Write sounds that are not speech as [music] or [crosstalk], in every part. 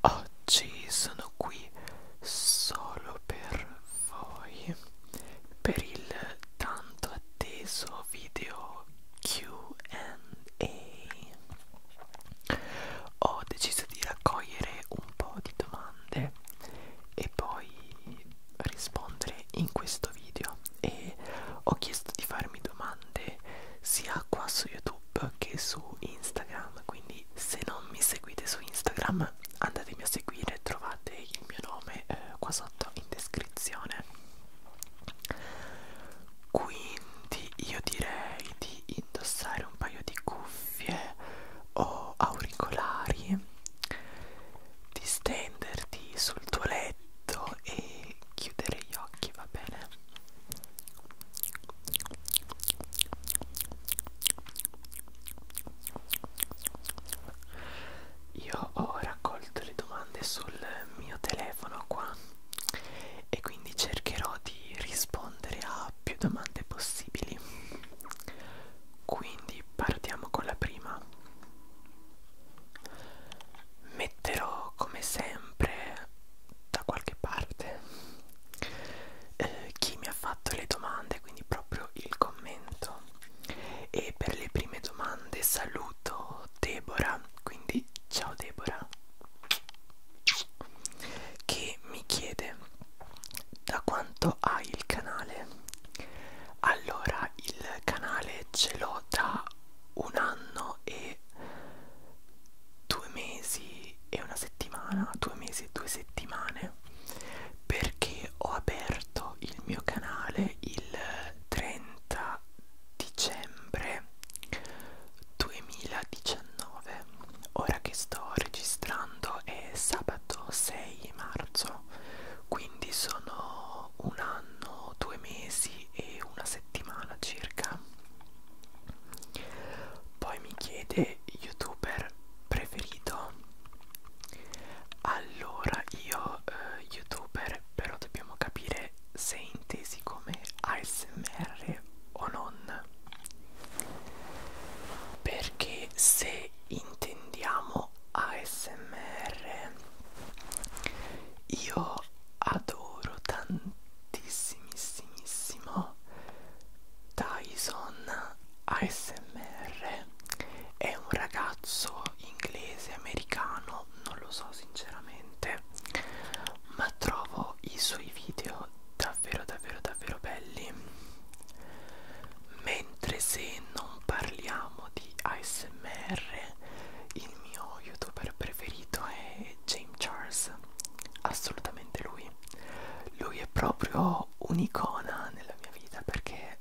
Oggi sono qui solo per voi per il tanto atteso video QA. Ho deciso di raccogliere un po' di domande e poi rispondere in questo video e ho chiesto di farmi domande sia qua su YouTube che su Instagram, quindi se non mi seguite su Instagram andatemi a seguire, trovate il mio nome eh, qua sotto in descrizione. Quindi io direi di indossare un paio di cuffie o auricolari, di stenderti sul tuo letto letto e chiudere gli occhi, va bene? Io ho raccolto le domande sul mio telefono qua e quindi cercherò di rispondere a più domande possibili. Quindi partiamo con la prima metterò come sempre da qualche parte eh, chi mi ha fatto le domande quindi proprio il commento e per le prime domande saluto Deborah quindi ciao Deborah che mi chiede da quanto hai il canale allora il canale ce l'ho da un anno e due mesi e una settimana due mesi e due settimane perché ho aperto il mio canale il 30 dicembre 2019 ora che sto registrando è sabato 6 marzo quindi sono un anno, due mesi e una settimana circa. Poi mi chiede youtuber preferito. Allora io eh, youtuber però dobbiamo capire se è intesi come ASMR o non. Perché se intendiamo no ASMR io adoro tantissimissimo Tyson ASMR è un ragazzo inglese americano non lo so sinceramente ma trovo i suoi video davvero davvero davvero belli mentre se non parliamo di di ASMR il mio youtuber preferito è James Charles assolutamente lui lui è proprio un'icona nella mia vita perché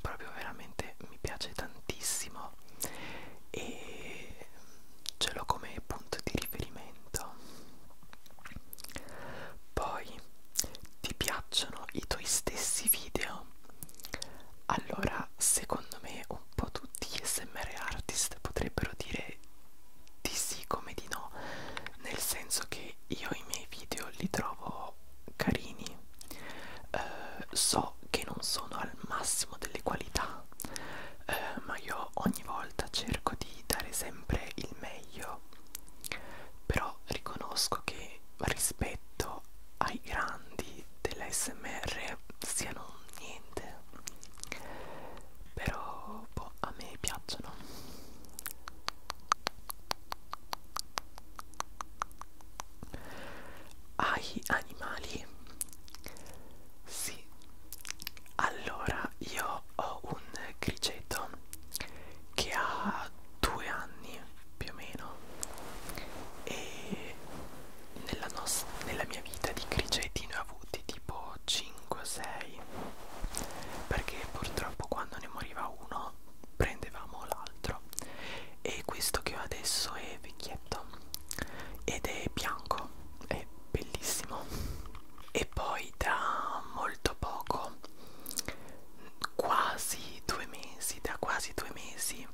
proprio veramente mi piace tantissimo e ce l'ho come punto di riferimento poi ti piacciono i tuoi stessi video allora, secondo me un po' tutti gli SMR artist potrebbero dire di sì come di no, nel senso che io i miei video li trovo carini, eh, so che non sono al massimo delle qualità, eh, ma io ogni volta cerco di dare sempre il meglio, però riconosco che rispetto ai grandi dell'ASMR siano niente però boh, a me piacciono ai animali sì allora io ho un criceto che ha due anni più o meno e nella, nella mia vita di criceti ne ho avuti tipo 5 o 6 perché purtroppo quando ne moriva uno prendevamo l'altro e questo che ho adesso è vecchietto ed è bianco è bellissimo e poi da molto poco quasi due mesi da quasi due mesi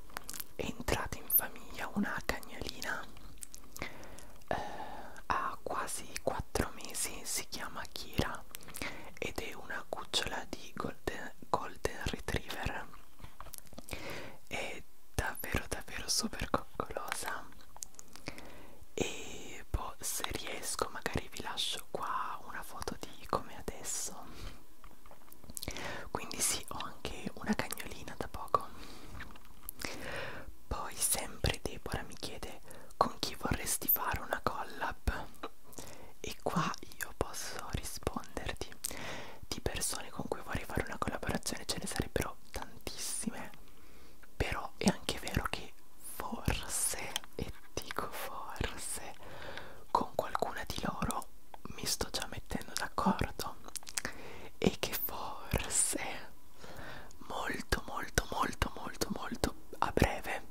è entrata in famiglia una cagnolina eh, ha quasi 4 mesi, si chiama Kira ed è una cucciola di Golden, golden Retriever è davvero davvero super coccolosa e boh, se riesco magari vi lascio qua una foto di come adesso quindi sì ho anche una cagnolina da poco poi sempre Deborah mi chiede con chi vorresti fare una collab e qua io posso risponderti di persone con cui vorrei fare una collaborazione ce ne sarebbero tantissime però è anche vero che forse e dico forse con qualcuna di loro però mi sto già mettendo d'accordo e che forse molto molto molto molto molto a breve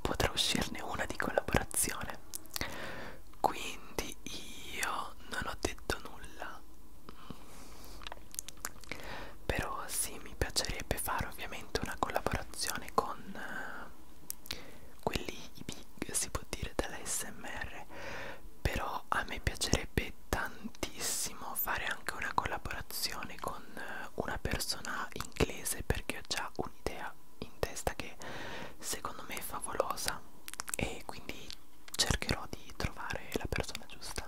potrà uscirne una di collaborazione quindi io non ho detto nulla però sì mi piacerebbe fare ovviamente una collaborazione con eh, quelli i big si può dire dall'ASMR però a me piacerebbe tantissimo fare anche una collaborazione con eh, una persona inglese perché ho già un'idea in testa che secondo me è favolosa e quindi cercherò di trovare la persona giusta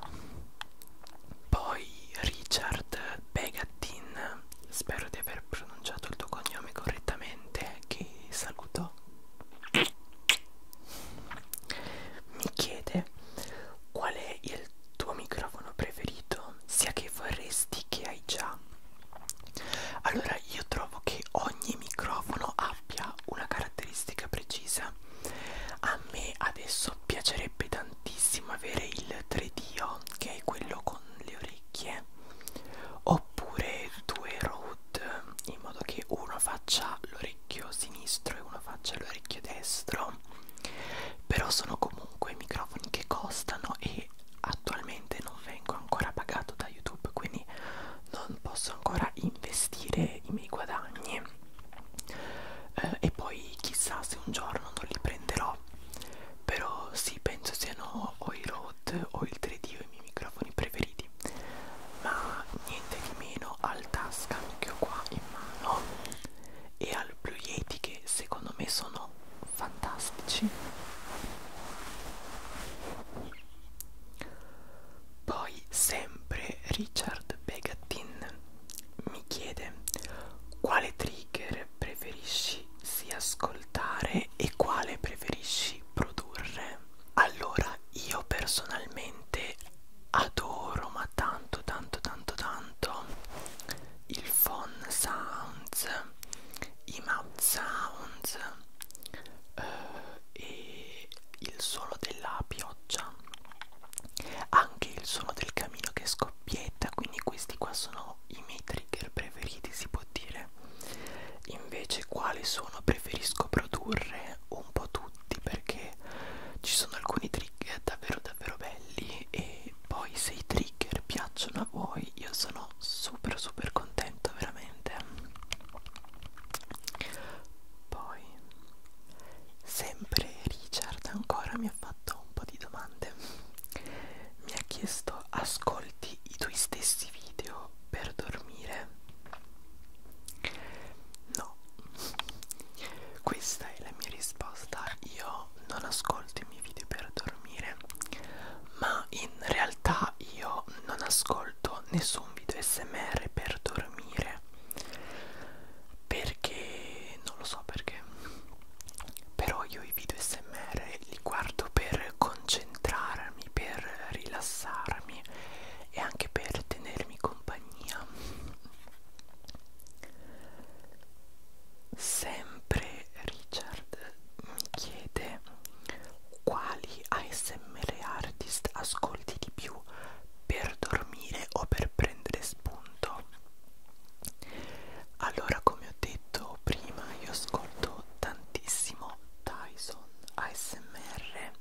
poi Richard Begatin spero di aver pronunciato il tuo cognome correttamente che saluto mi chiede qual è il tuo microfono preferito, sia che vorresti che hai già. Allora, io trovo che ogni microfono abbia una caratteristica precisa. A me adesso piacerebbe tantissimo avere il 3D, che è quello con le orecchie, oppure due Rode dot in modo che uno faccia l'orecchio sinistro e uno faccia l'orecchio destro però sono comunque microfoni che costano e attualmente non vengo ancora pagato da youtube quindi non posso ancora investire i miei guadagni eh, e poi chissà se un giorno non li prenderò però sì penso siano o euro Rode ho il 3D ho i miei microfoni preferiti ma niente di meno al Tascam che ho qua in mano e al Blue Yeti che secondo me sono fantastici poi sempre Richard Begatin mi chiede quale trigger preferisci sia ascoltare e quale preferisci produrre allora io personalmente adoro ma tanto tanto tanto tanto il phone sounds i mouth sounds eh, e il suono della pioggia anche il suono del camino che scoppietta quindi questi qua sono i miei trigger preferiti si può dire invece quali sono preferisco produrre un po' tutti perché ci sono alcuni trigger davvero davvero belli e poi se i trigger piacciono a voi io sono super super contento veramente poi sempre Richard ancora mi ha fatto un po' di domande mi ha chiesto ascolti i tuoi stessi video uso per dormire? No, questa è la mia risposta. Io non ascolto i miei video per dormire, ma in realtà io non ascolto nessun video smr per dormire perché non lo so perché però io i video smr li guardo per con concentrarmi, per rilassarmi e anche per tenermi compagnia. Sempre Richard mi chiede quali ASMR artist ascolti di più per dormire o per prendere spunto. Allora, come ho detto prima, io ascolto tantissimo Tyson ASMR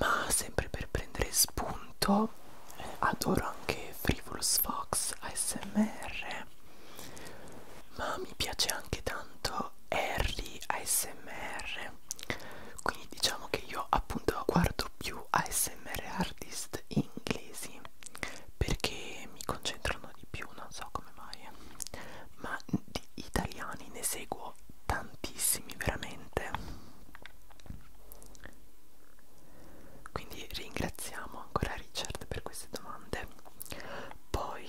ma sempre per prendere spunto eh, adoro anche Frivolous Fox ASMR ma mi piace anche tanto Harry ASMR quindi diciamo che io appunto guardo più ASMR artist inglesi perché mi concentrano di più, non so come mai, ma di italiani ne seguo tantissimi veramente. Quindi ringraziamo ancora Richard per queste domande. Poi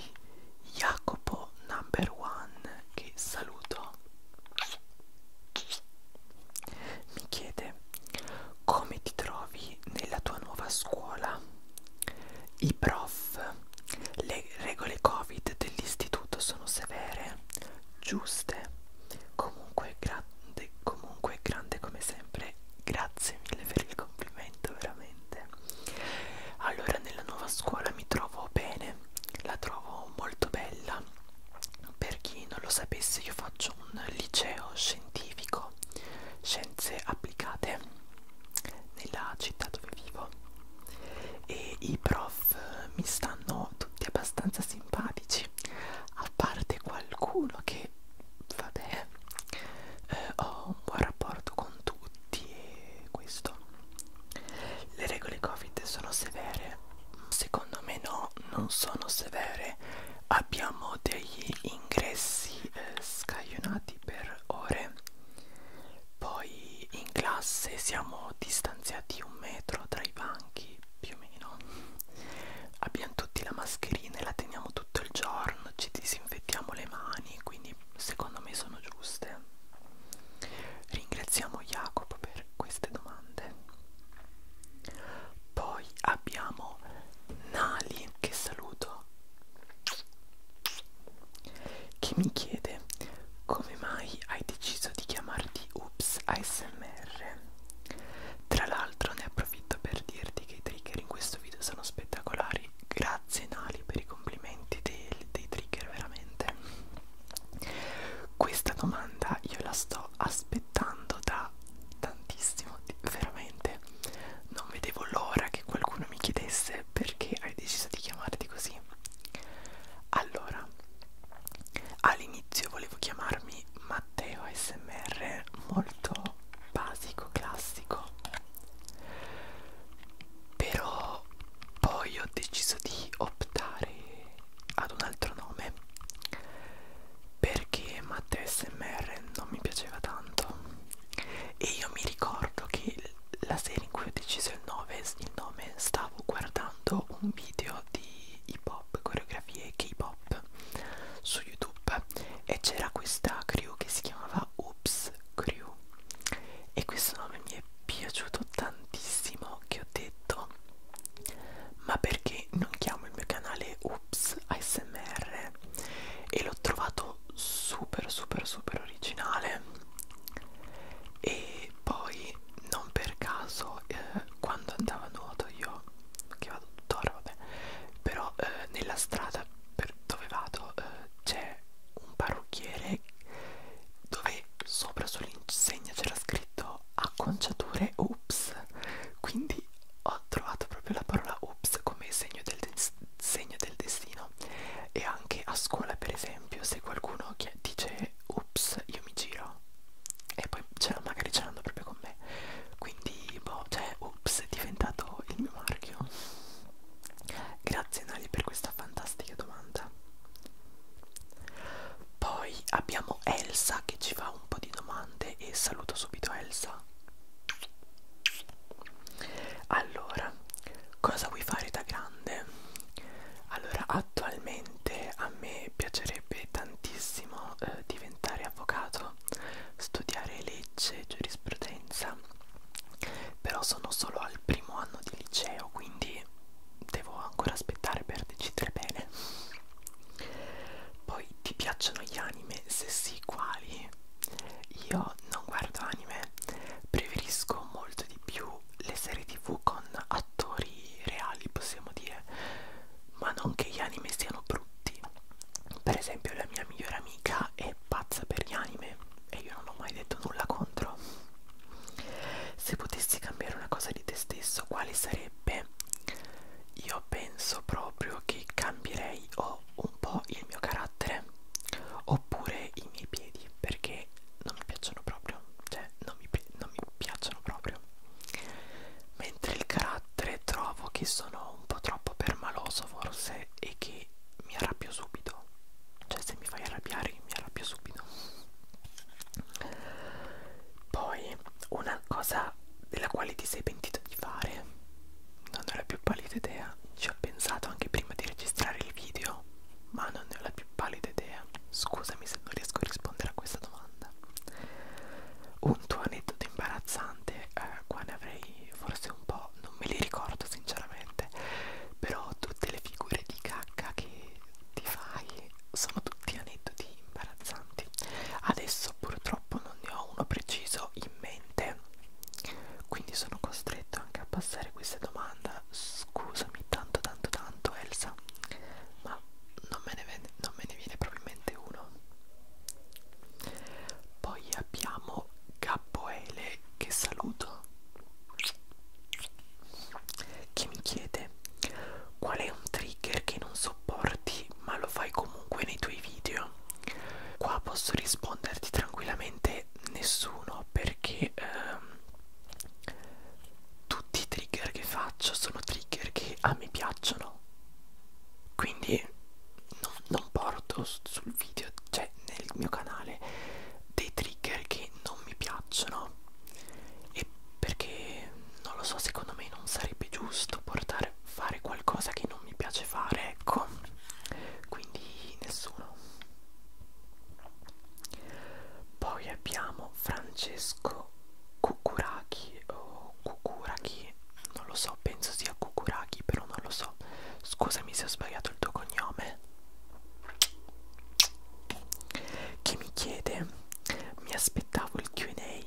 Jacopo number one che saluto mi chiede come ti trovi nella tua nuova scuola. I prof le regole covid dell'istituto sono severe, giuste, comunque grande, comunque grande come sempre, grazie mille per il complimento veramente. Allora nella nuova scuola mi trovo bene, la trovo molto bella, per chi non lo sapesse io faccio un liceo scientifico, scienze applicate nella città dove vivo e i prof eh, mi stanno tutti abbastanza simpatici a parte qualcuno che vabbè eh, ho un buon rapporto con tutti e questo le regole covid sono severe secondo me no non sono severe abbiamo degli ingressi eh, scaglionati per ore poi in classe siamo distanziati un metro tra i banchi, più o meno. Abbiamo tutti la mascherina e la teniamo tutto il giorno, ci disinfettiamo le mani, quindi secondo me sono giuste. Ringraziamo Jacopo per queste domande. Poi abbiamo Nali che saluto che mi chiede come mai hai deciso di chiamarti Ups ASMR. Tra l'altro ne approfitto per dirti che i trigger in questo video sono spettacolari. Grazie Nali per i complimenti dei, dei trigger veramente. Questa domanda io la sto aspettando da tantissimo, veramente. Non vedevo l'ora che qualcuno mi chiedesse perché hai deciso di chiamarti così? Allora, all'inizio volevo chiamarmi Matteo SMR, molto basico, classico, però poi ho deciso di optare ad un altro nome perché Matteo SMR non mi piaceva tanto e io mi ricordo che la sera in cui ho deciso il, nove, il nome stavo guardando un video di hip hop, coreografie K-pop su YouTube e c'era questa crew che si chiamava Oops Crew e questo nome mi è piaciuto tantissimo che ho detto ma perché non chiamo il mio canale Oops ASMR e l'ho trovato super super super originale e poi non per caso eh, quando andavo a nuoto io che vado tuttora vabbè però eh, nella strada per dove vado eh, c'è un parrucchiere dove sopra sull'insegna c'era scritto acconciature ups quindi ho trovato proprio la parola ups come segno del, segno del destino no? E anche a scuola, per esempio, se qualcuno dice ups, io mi giro e poi ce magari ce l'hanno proprio con me. Quindi, boh, cioè, ups, è diventato il mio marchio. Grazie Nali per questa fantastica domanda. Poi abbiamo Elsa che ci fa un po' di domande e saluto subito Elsa. Allora, cosa vuoi fare da grande? Allora, attualmente a me piacerebbe tantissimo eh, diventare avvocato, studiare legge, giurisprudenza, però sono solo al primo anno di liceo, quindi devo ancora aspettare per decidere bene. Poi ti piacciono gli anime? Se sì, quali? Io non guardo anime, preferisco molto di più le serie tv con attori reali, possiamo dire, ma non che gli anime siano brutti. Per esempio la mia migliore amica è pazza per gli anime e io non ho mai detto nulla contro. Se potessi cambiare una cosa di te stesso, quale sarebbe? Io penso proprio che cambierei o un po' il mio carattere o oppure i miei piedi perché non mi piacciono proprio cioè non mi, non mi piacciono proprio mentre il carattere trovo che sono un po' troppo permaloso forse e che mi arrabbio subito cioè se mi fai arrabbiare mi arrabbio subito poi una cosa della quale ti sei pentito di fare non ho la più pallida idea ci ho pensato anche prima di registrare il video ma non ne ho la più pallida idea. Scusami se non riesco a rispondere a questa domanda. Un tuo aneddoto imbarazzante, eh, qua ne avrei forse un po', non me li ricordo sinceramente, però tutte le figure di cacca che ti fai sono tutti aneddoti imbarazzanti. Adesso purtroppo non ne ho uno preciso in mente quindi sono costretto anche a passare questa domanda. Scusami tanto tanto tanto Elsa, ma non me ne, vede, non me ne viene proprio in mente uno. Poi abbiamo Gabboele che saluto, che mi chiede qual è un trigger che non sopporti ma lo fai comunque nei tuoi video. Qua posso risponderti tranquillamente male nessuno perché ehm, tutti i trigger che faccio sono trigger che a me piacciono quindi non, non porto sul video cioè nel mio canale dei trigger che non mi piacciono e perché non lo so secondo me non sarebbe giusto portare fare qualcosa che non mi piace fare ecco quindi nessuno poi abbiamo Francesco Cucuraki o Cucuraki, non lo so, penso sia Cucuraki, però non lo so. Scusami se ho sbagliato il tuo cognome. Che mi chiede, mi aspettavo il QA,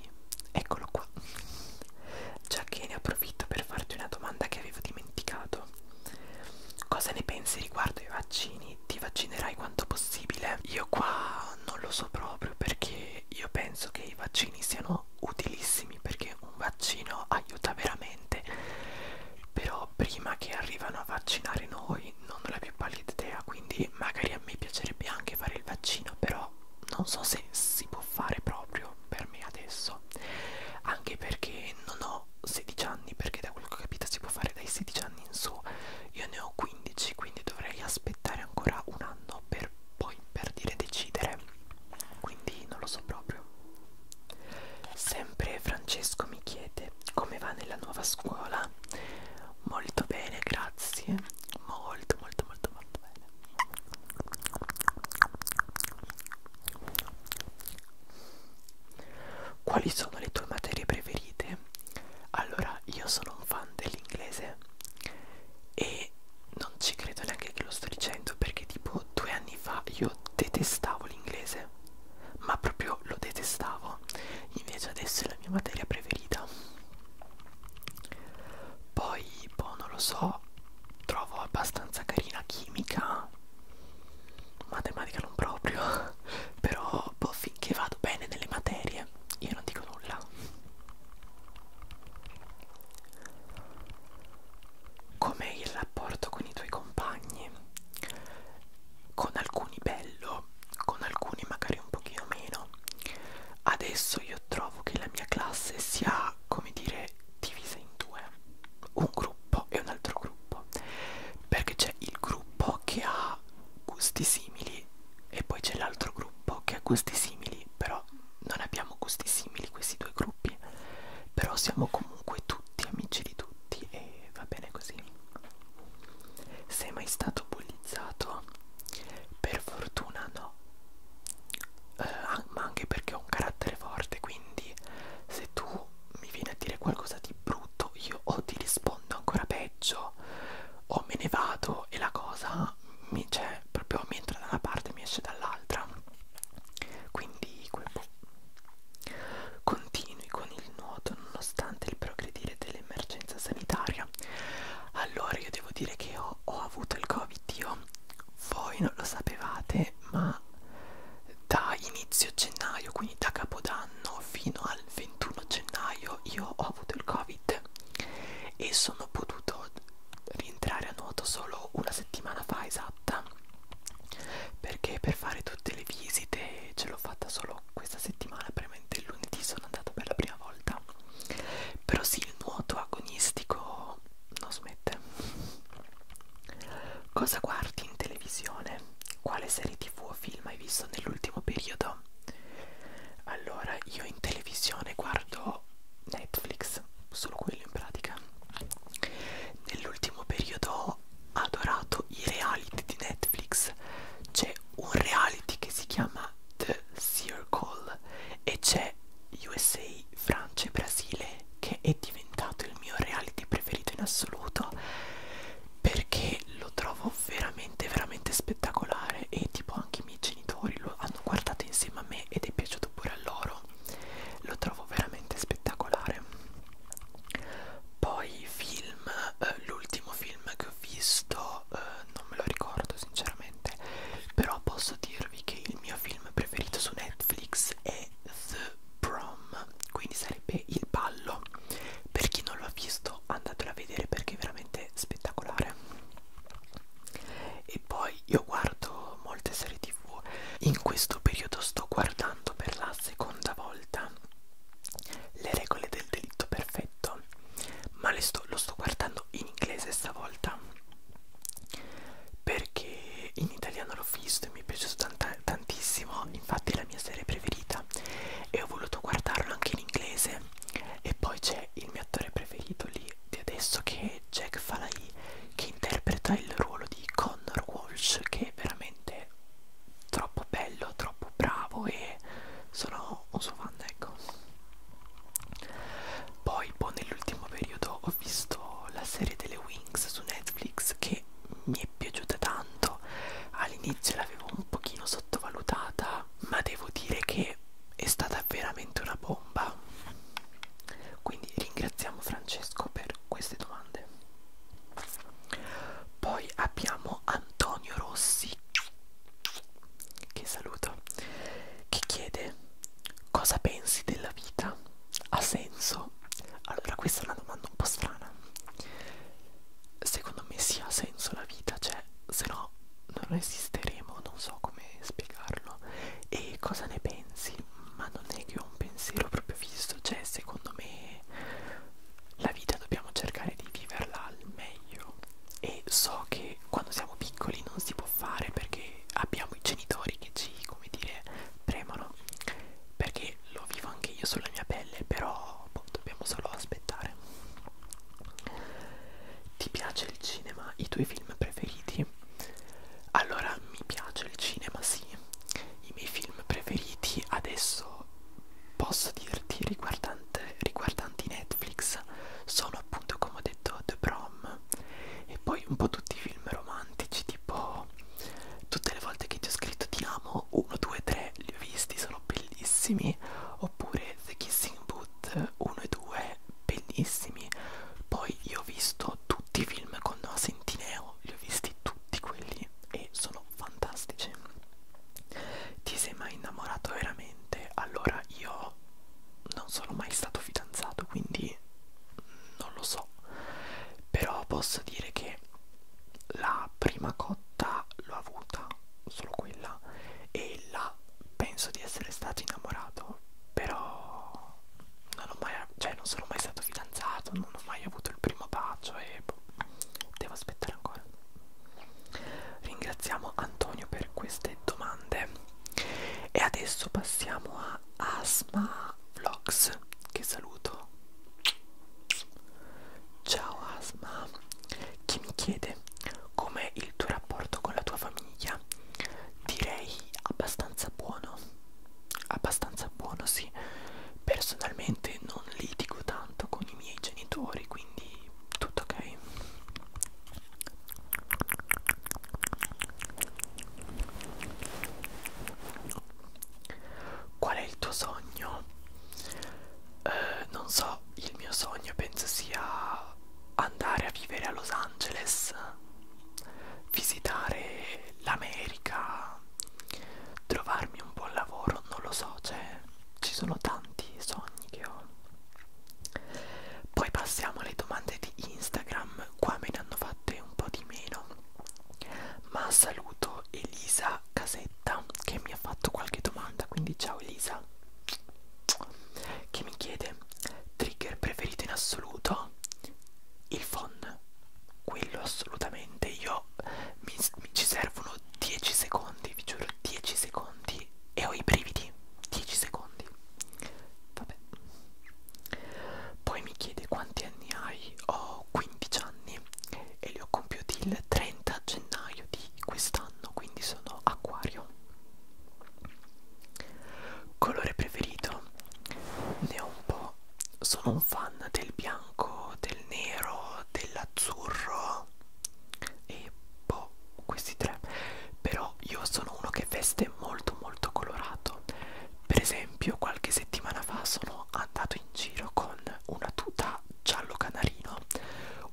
eccolo qua. Già che ne approfitto per farti una domanda che avevo dimenticato. Cosa ne pensi riguardo ai vaccini? Ti vaccinerai quanto possibile? Io qua non lo so proprio perché io penso che i vaccini siano utilissimi perché un vaccino aiuta veramente. Però prima che arrivano a vaccinare noi non ho la più pallida idea, quindi magari a me piacerebbe anche fare il vaccino, però non so se si può fare proprio per me adesso. Anche perché non ho 16 anni perché da quello che ho capito si può fare dai 16 anni in su io ne ho 15 quindi dovrei aspettare ancora un anno per poi per dire decidere quindi non lo so proprio sempre Francesco mi chiede come va nella nuova scuola molto bene grazie molto molto molto molto bene quali sono le tue materie preferite? Allora, io sono un fan dell'inglese e non ci credo neanche che lo sto dicendo perché tipo due anni fa io detestavo l'inglese, ma proprio lo detestavo, invece adesso è la mia materia preferita. Poi, boh, non lo so, trovo abbastanza carina chimica matematica non proprio [laughs] però boh, finché vado bene nelle materie io non dico nulla com'è il rapporto con i tuoi compagni con alcuni bello con alcuni magari un pochino meno adesso io trovo che la mia classe sia come dire divisa in due un gruppo e un altro gruppo perché c'è il gruppo che ha gusti simili e poi c'è l'altro gruppo che ha gusti simili però non abbiamo gusti simili questi due gruppi però siamo comunque tutti amici di tutti e va bene così sei mai stato bullizzato? per fortuna no eh, ma anche perché ho un carattere forte quindi se tu mi viene a dire qualcosa di brutto io o ti rispondo ancora peggio o me ne vado e la cosa mi cioè proprio mi entra da una parte e mi esce dall'altra quindi continui con il nuoto nonostante il progredire dell'emergenza sanitaria allora io devo dire che ho, ho avuto il covid io voi non lo sapevate ma da inizio gennaio, quindi da capodanno fino al 21 gennaio, io ho avuto il covid e sono potuto rientrare a nuoto solo una settimana fa esatta perché per fare tutte le visite ce l'ho fatta solo questa settimana, veramente il lunedì sono andato per la prima volta. Però sì, il nuoto agonistico non smette. Cosa guardi in televisione? Quale serie tv o film hai visto nell'ultimo periodo? Allora, io in televisione guardo Netflix, solo quello in pratica. Nell'ultimo periodo ho adorato i reality di Netflix. C'è un reality che si chiama The Circle e c'è USA, Francia e Brasile che è diventato il mio reality preferito in assoluto perché lo trovo veramente veramente spettacolare e tipo anche i miei genitori lo hanno guardato insieme a me ed è piaciuto pure a loro lo trovo veramente spettacolare poi film eh, l'ultimo film che ho visto eh, non me lo ricordo sinceramente però posso dirvi che il mio film preferito su Netflix è The prom quindi sarebbe il ballo per chi non l'ha visto andatelo a vedere perché è veramente spettacolare e poi io guardo molte serie tv in questo periodo sto guardando per la seconda volta le regole del delitto perfetto ma le sto, lo sto guardando in inglese stavolta perché in italiano l'ho visto e mi è piaciuto tantissimo tantissimo, infatti è la mia serie preferita e ho voluto guardarlo anche in inglese e poi c'è il mio attore preferito lì di adesso che è Jack Falai che interpreta il ruolo di Connor Walsh che è veramente troppo bello, troppo bravo e sono un suo fan ecco poi poi boh, nell'ultimo periodo ho visto la serie delle Wings su Netflix che mi è piaciuta tanto all'inizio l'avevo un pochino sottovalutata ma devo dire che è stata veramente una bomba quindi ringraziamo Francesco per queste domande poi abbiamo Antonio Rossi che saluto che chiede cosa pensi della vita ha senso allora questa è una domanda un po' strana secondo me si ha senso la vita, cioè se no non esisteremo, non so come spiegarlo. E cosa ne pensi? Ma non è che ho un pensiero proprio fisso, cioè secondo me la vita dobbiamo cercare di viverla al meglio. E so che quando siamo piccoli non si può fare perché abbiamo i genitori che ci, come dire, premono perché lo vivo anche io sulla mia pelle però boh, dobbiamo solo aspettare ti piace il cinema? i tuoi film preferiti? allora mi piace il cinema sì i miei film preferiti adesso posso dirti riguardanti Netflix sono appunto come ho detto The Prom e poi un po' tutti i film romantici tipo tutte le volte che ti ho scritto ti amo sono 1, 2, 3, li ho visti, sono bellissimi. Oppure The Kissing Boot 1 e 2, bellissimi. Poi io ho visto tutti i film con Noah Centineo, li ho visti tutti quelli e sono fantastici. Ti sei mai innamorato veramente? Allora io non sono mai stato fidanzato, quindi non lo so. Però posso dire che la prima cotta l'ho avuta, solo quella, e là penso di essere stato innamorato, però non ho mai, cioè non sono mai stato fidanzato, non ho mai avuto il primo bacio e boh, devo aspettare ancora. Ringraziamo Antonio per queste domande e adesso passiamo a Asma Vlogs che saluto Ciao Asma, chi mi chiede com'è il tuo rapporto con la tua famiglia? Direi abbastanza buono, abbastanza buono sì, personalmente non litigo tanto con i miei genitori, quindi tutto ok. Qual è il tuo sogno? Eh, non so, il mio sogno penso sia andare a vivere a Los Angeles, visitare l'America, trovarmi un buon lavoro, non lo so, cioè ci sono tanti sogni che ho. Poi passiamo alle domande di Instagram, qua me ne hanno fatte un po' di meno ma saluto Elisa Casetta che mi ha fatto qualche domanda quindi ciao Elisa che mi chiede trigger preferito in assoluto il phon quello assolutamente io mi, mi ci servono 10 secondi vi giuro 10 secondi e ho i brividi 10 secondi vabbè poi mi chiede quanti anni hai ho 15 anni anni e li ho compiuti il 30 gennaio di quest'anno, quindi sono acquario. Colore preferito? Ne ho un po'. Sono un fan del bianco, del nero, dell'azzurro e boh, questi tre. Però io sono uno che veste molto molto colorato. Per esempio, qualche settimana fa sono andato in giro con una tuta maglietta giallo canarino,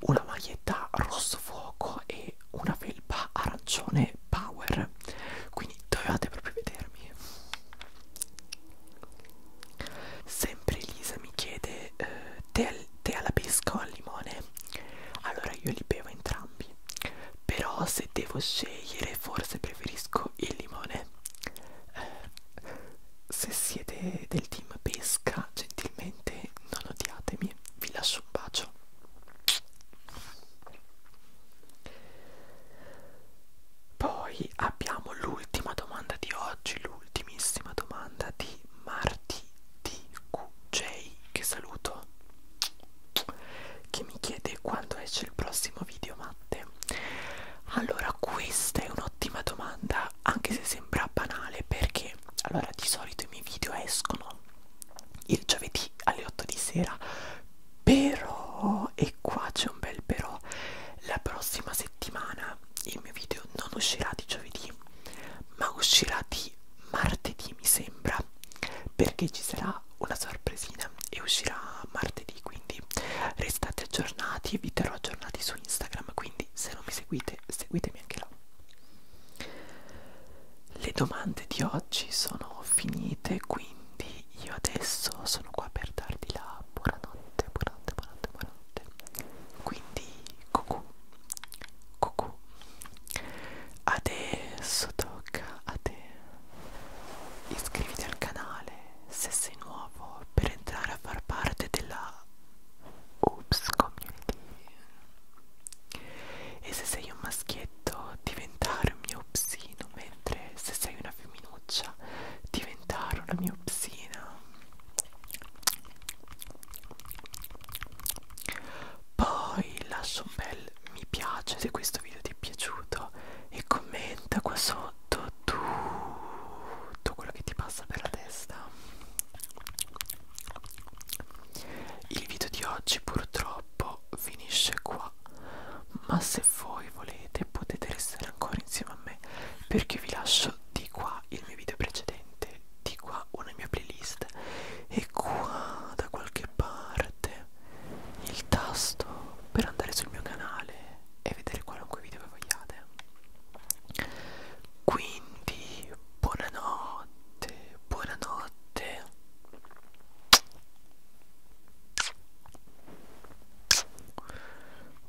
una maglietta rosso fuoco e una felpa arancione power. Quindi dovevate proprio vedermi. Sempre Elisa mi chiede eh, te, te alla pesca o al limone? Allora io li bevo entrambi. Però se devo scegliere forse preferisco il limone. Eh, se siete del team pesca gentilmente non odiatemi vi lascio un bacio poi abbiamo l'ultima domanda di oggi l'ultimissima domanda di Marti DQJ che saluto che mi chiede quando esce il prossimo video Matte allora questa è un'ottima domanda anche se sembra banale perché allora di solito i miei video escono il giovedì alle 8 di sera però e qua c'è un bel però la prossima settimana il mio video non uscirà di giovedì ma uscirà di martedì mi sembra perché ci sarà una sorpresina e uscirà martedì quindi restate aggiornati vi terrò aggiornati su su Instagram, quindi se non mi seguite, seguitemi anche là. Le domande di oggi sono finite, quindi io adesso sono qua per darti la buonanotte, buonanotte, buonanotte, buonanotte. Quindi, cucù, cucù. Adesso tocca a te. Iscriviti al canale, se sei nuovo per entrare a far parte della Oops Community e se sei un maschietto diventare un mio psino mentre se sei una femminuccia diventare una mia psina poi lascia un bel mi piace se questo video ti è piaciuto e commenta qua sotto tu tutto quello che ti passa per la testa il video di oggi purtroppo finisce qua ma se voi volete potete restare ancora insieme a me perché vi lascio di qua il mio video precedente di qua una mia playlist e qua da qualche parte il tasto per andare sul mio canale e vedere qualunque video che vogliate quindi buonanotte, buonanotte.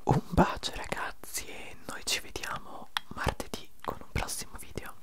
Un bacio ragazzi e noi ci vediamo martedì con un prossimo video.